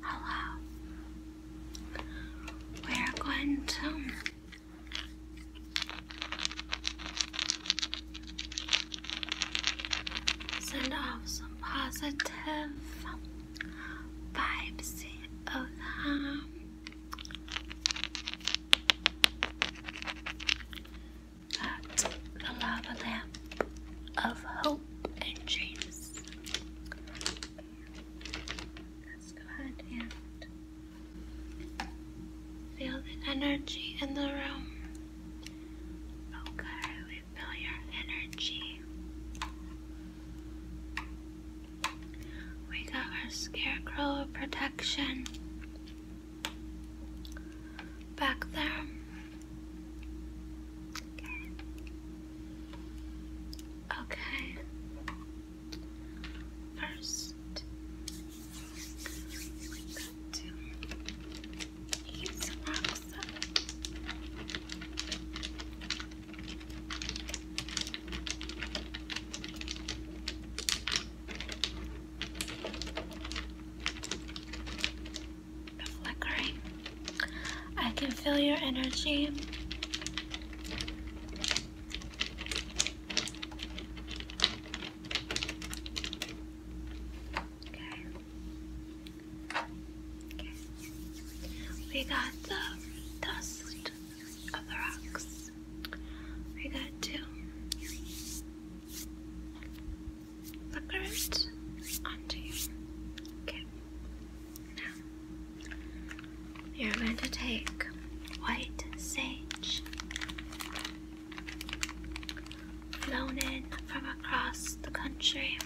Hello. We're going to send off some positive vibes. Okay. Um, the lava lamp of hope and James. Let's go ahead and feel the energy in the room. Okay, we feel your energy. We got our scarecrow protection back there. Okay. First, we got some rocks up flickering. I can feel your energy. Okay. We got the dust of the rocks. We got two the onto you. Okay. Now you're going to take white sage flown in from across the country.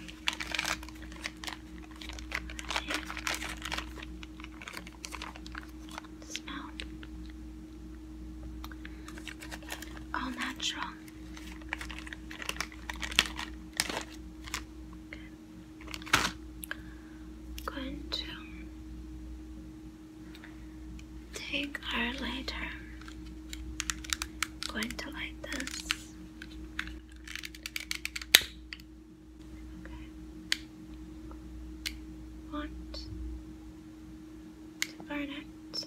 Smell all natural going to take our lighter. going to light this. Okay. Want to burn it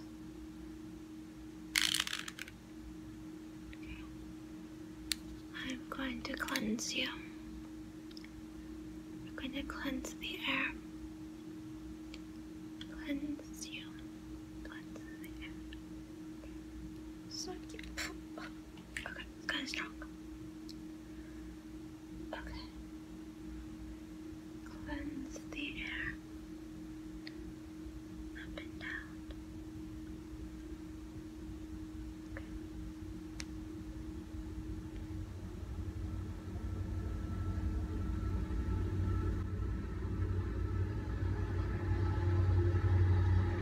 I'm going to cleanse you. We're going to cleanse the air. Cleanse you. Cleanse the air. So Okay, it's strong. Okay. Cleanse the air up and down.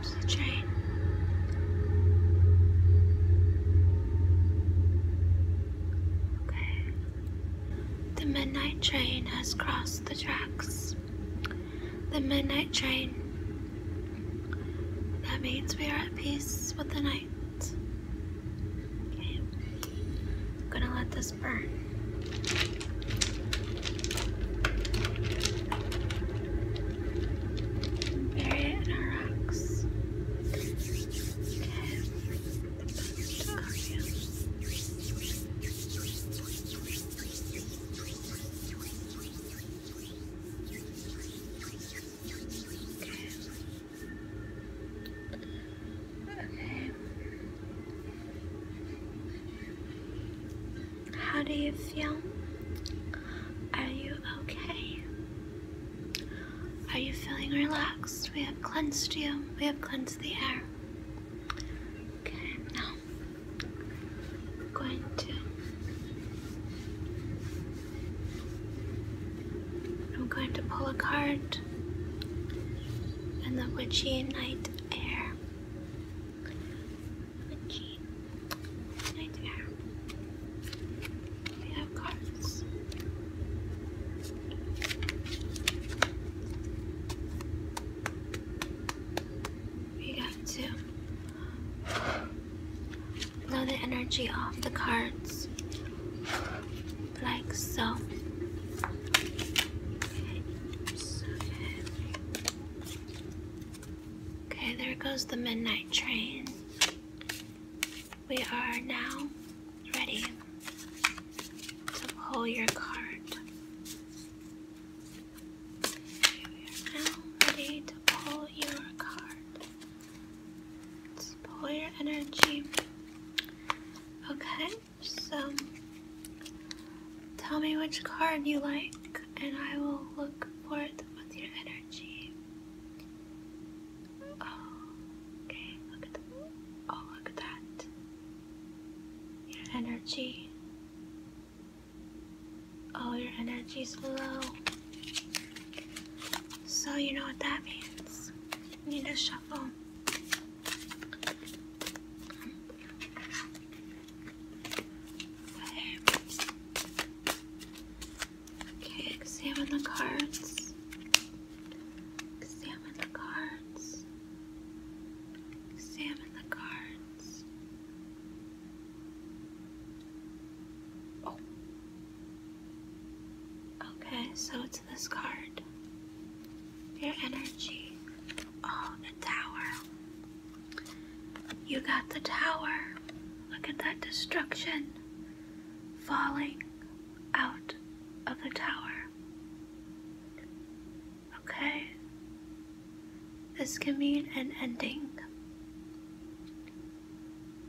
Okay. There's the train. Okay, the midnight train has crossed the tracks. The midnight train. That means we are at peace with the night. I'm gonna let this burn. Bury it in our rocks. How do you feel? Are you okay? Are you feeling relaxed? We have cleansed you. We have cleansed the air. Okay, now I'm going to. I'm going to pull a card in the witchy night air. Witchy night air. We have cards. We got to blow the energy off the cards like so. Okay, there goes the midnight train. We are now ready to pull your card. We are now ready to pull your card. pull your energy. Okay, so tell me which card you like, and I will look for it with your energy. Oh, okay, look at that. Oh, look at that. Your energy. Oh, your energy is low. So, you know what that means. You need to shuffle. Okay, examine the cards. Examine the cards. Examine the cards. Oh. Okay, so it's this card. Your energy. Oh, the tower. You got the tower. Look at that destruction falling out of the tower. Okay? This can mean an ending.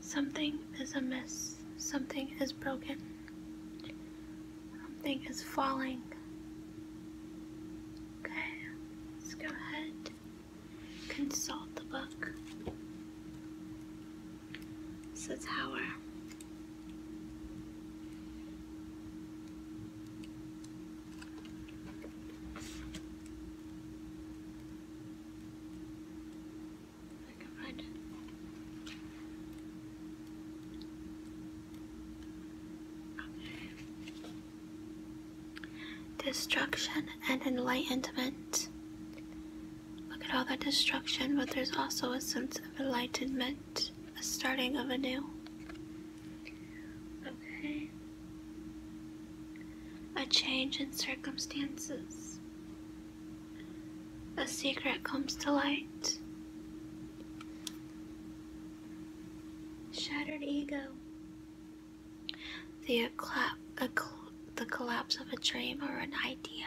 Something is amiss, something is broken, something is falling. Okay, let's go ahead, consult the book. So tower. I can find it. Destruction and enlightenment. Look at all that destruction, but there's also a sense of enlightenment, a starting of anew. Okay. A change in circumstances. A secret comes to light. Shattered ego. The, ecla- the collapse of a dream or an idea.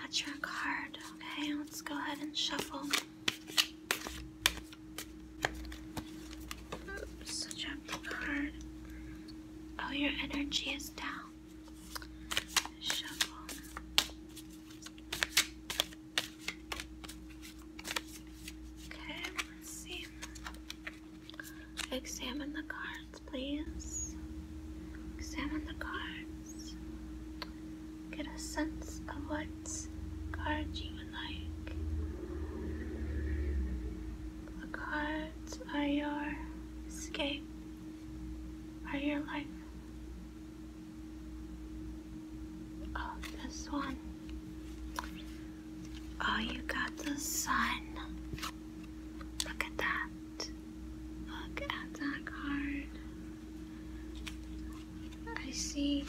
That's your card. Okay, let's go ahead and shuffle. Oops, shuffle the Oh, your energy is down. Shuffle. Okay, Examine the cards, please. Examine the cards. Get a sense of what cards you would like. The cards are your escape, are your life. Oh, this one. Oh, you got the sun. Look at that. Look at that card. I see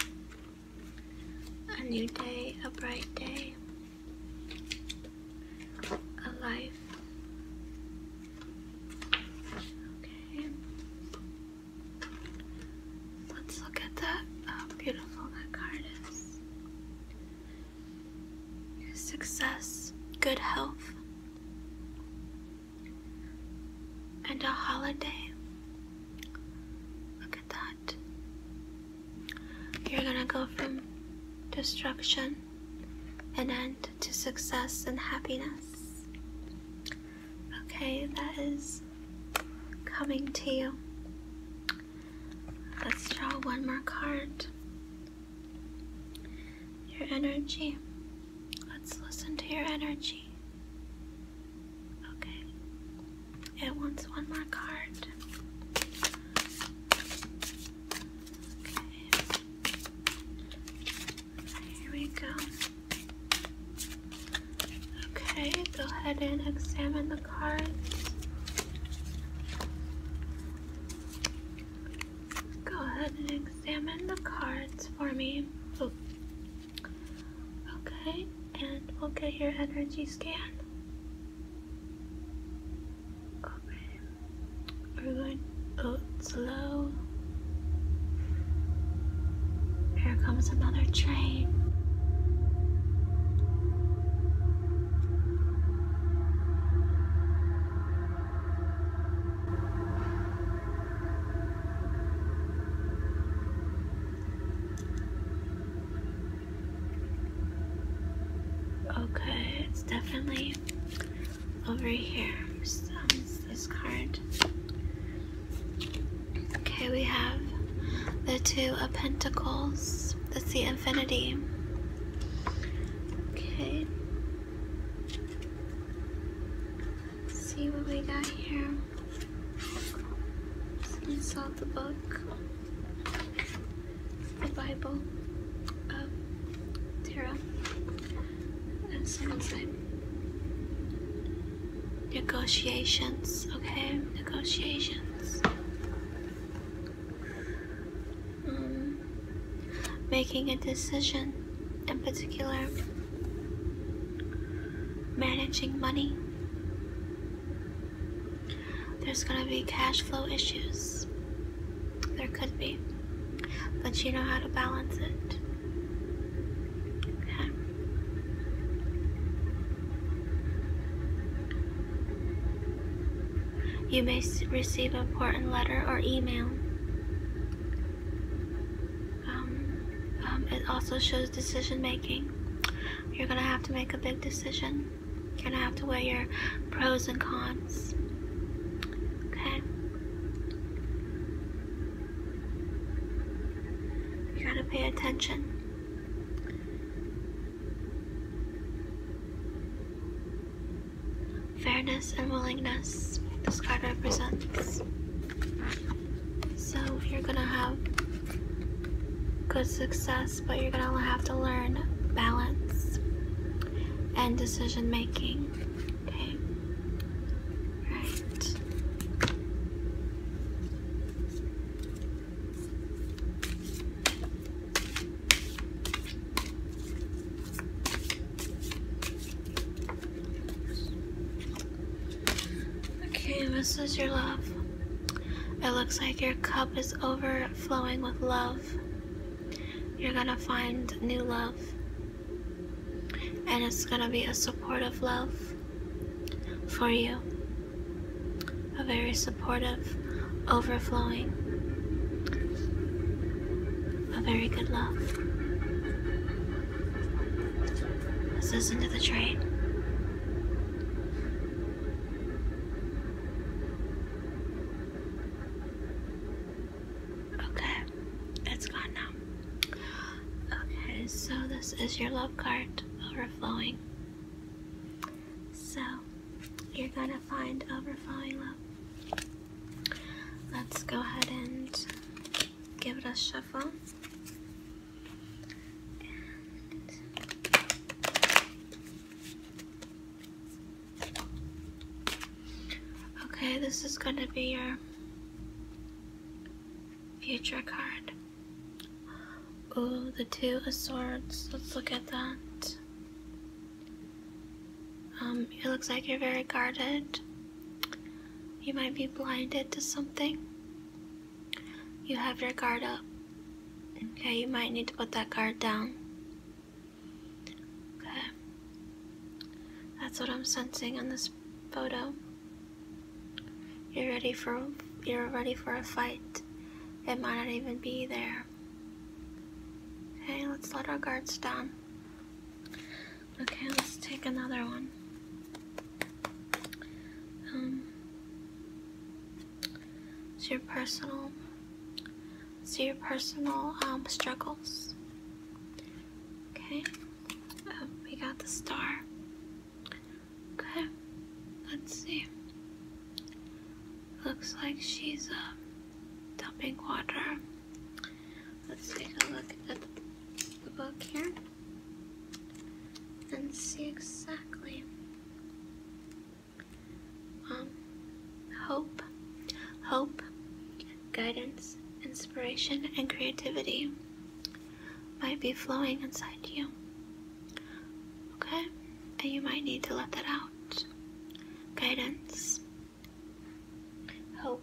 a new day, a bright day, a life. Okay. Let's look at that. How uh, beautiful that card is success, good health, and a holiday. Look at that. You're gonna go from destruction and end to success and happiness. Okay, that is coming to you. Let's draw one more card. Your energy. Let's listen to your energy. Okay. It wants one more card. Okay. Here we go. Okay, go ahead and examine the cards. Go ahead and examine the cards for me. Okay, and we'll get your energy scan. Okay, we're going oh, slow. Here comes another train. Okay, it's definitely over here. So this card. Okay, we have the Two of Pentacles. Let's see Infinity. Okay. Let's see what we got here. Let's insult the book. the Bible of oh, Tarot. And someone's name negotiations, okay? Negotiations. Um, making a decision, in particular, managing money. There's gonna be cash flow issues. There could be, but you know how to balance it. You may receive an important letter or email. Um, um, it also shows decision making. You're gonna have to make a big decision. You're gonna have to weigh your pros and cons. Okay. You gotta pay attention. Fairness and willingness, this card represents. So you're gonna have good success, but you're gonna have to learn balance and decision making. Okay. Right. Okay, this is your love. It looks like your cup is overflowing with love. You're gonna find new love. And it's gonna be a supportive love for you. A very supportive, overflowing, a very good love. Listen to the train. Okay, it's gone now. Okay, so this is your love card overflowing. So you're gonna find overflowing love. Let's go ahead and give it a shuffle. okay, this is gonna be your Future card. Ooh, the Two of Swords. Let's look at that. Um, it looks like you're very guarded. You might be blinded to something. You have your guard up. Okay, you might need to put that guard down. Okay. That's what I'm sensing on this photo. You're ready for you're ready for a fight. It might not even be there. Okay, let's let our guards down. Okay, let's take another one. Um, it's your personal, it's your personal um, struggles. Okay we got the star. Okay, let's see. Looks like she's uh, dumping water. Let's take a look at the book here and see exactly. Um, hope, hope, guidance, inspiration, and creativity might be flowing inside you. Okay? And you might need to let that out. Guidance, hope,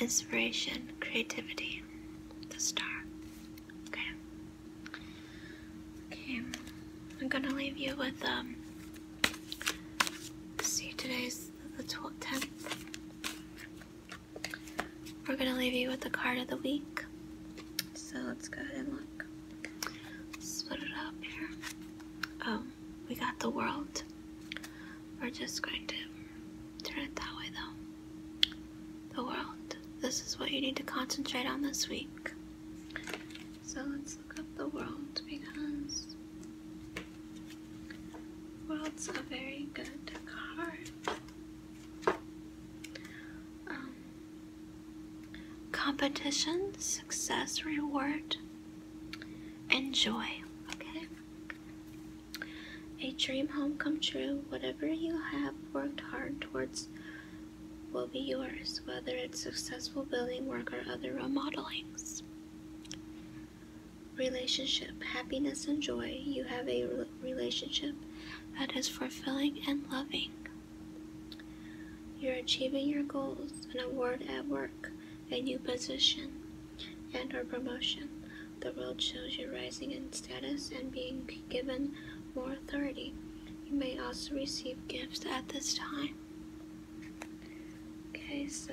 inspiration, creativity, the star. Okay? Okay, I'm gonna leave you with, um, see, today's the 12th, 10th. We're gonna leave you with the card of the week. So let's go ahead and look. let put it up here. Um, we got the world. We're just going to turn it that way though. The world. This is what you need to concentrate on this week. So let's look up the world because World's a very good card. Um, competition, success, reward, enjoy. Okay? A dream home come true. Whatever you have worked hard towards will be yours, whether it's successful building work or other remodelings. Relationship, happiness, and joy. You have a relationship that is fulfilling and loving. You're achieving your goals, an award at work, a new position, and or promotion. The world shows you rising in status and being given more authority. You may also receive gifts at this time. Okay, so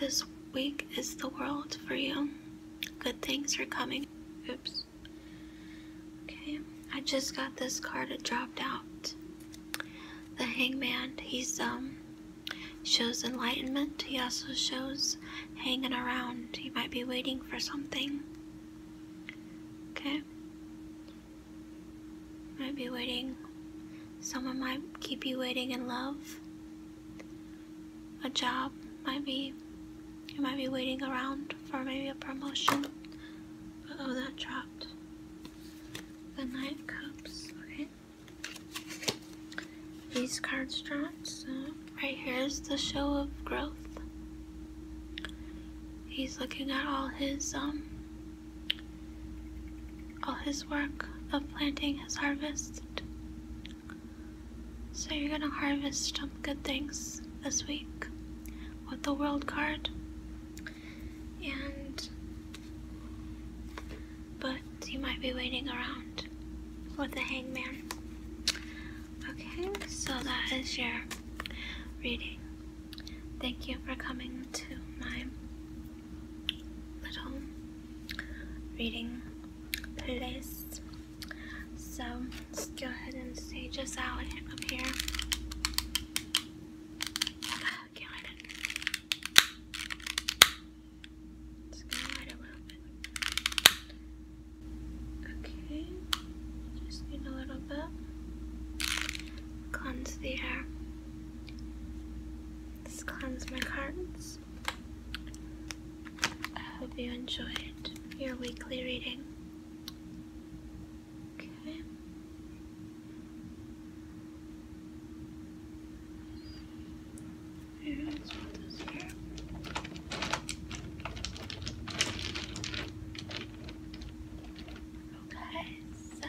this week is the world for you. Good things are coming. Oops. Okay, I just got this card. It dropped out. The hangman, he's, um, shows enlightenment. He also shows hanging around. He might be waiting for something. Okay? Might be waiting. Someone might keep you waiting in love. A job might be. You might be waiting around for maybe a promotion. oh, that dropped. The Knight Cups. Okay. These cards dropped. right here is the show of growth. He's looking at all his um all his work of planting has harvested. So you're gonna harvest some good things this week with the world card. And but you might be waiting around with the hangman. Okay, so that is your reading. Thank you for coming to my little reading place. So let's go ahead and stage us out up here. Get right in. Just gonna light a little bit. Okay, just need a little bit. Cleanse the air. This climbs my cards. I hope you enjoyed your weekly reading. Okay. Here, so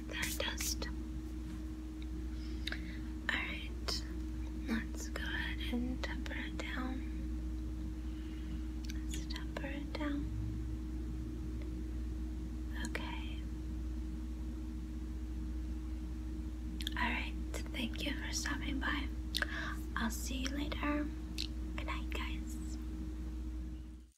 is dust. Alright, let's go ahead and temper it down. Let's temper it down. Okay. Alright, thank you for stopping by. I'll see you later. Good night, guys.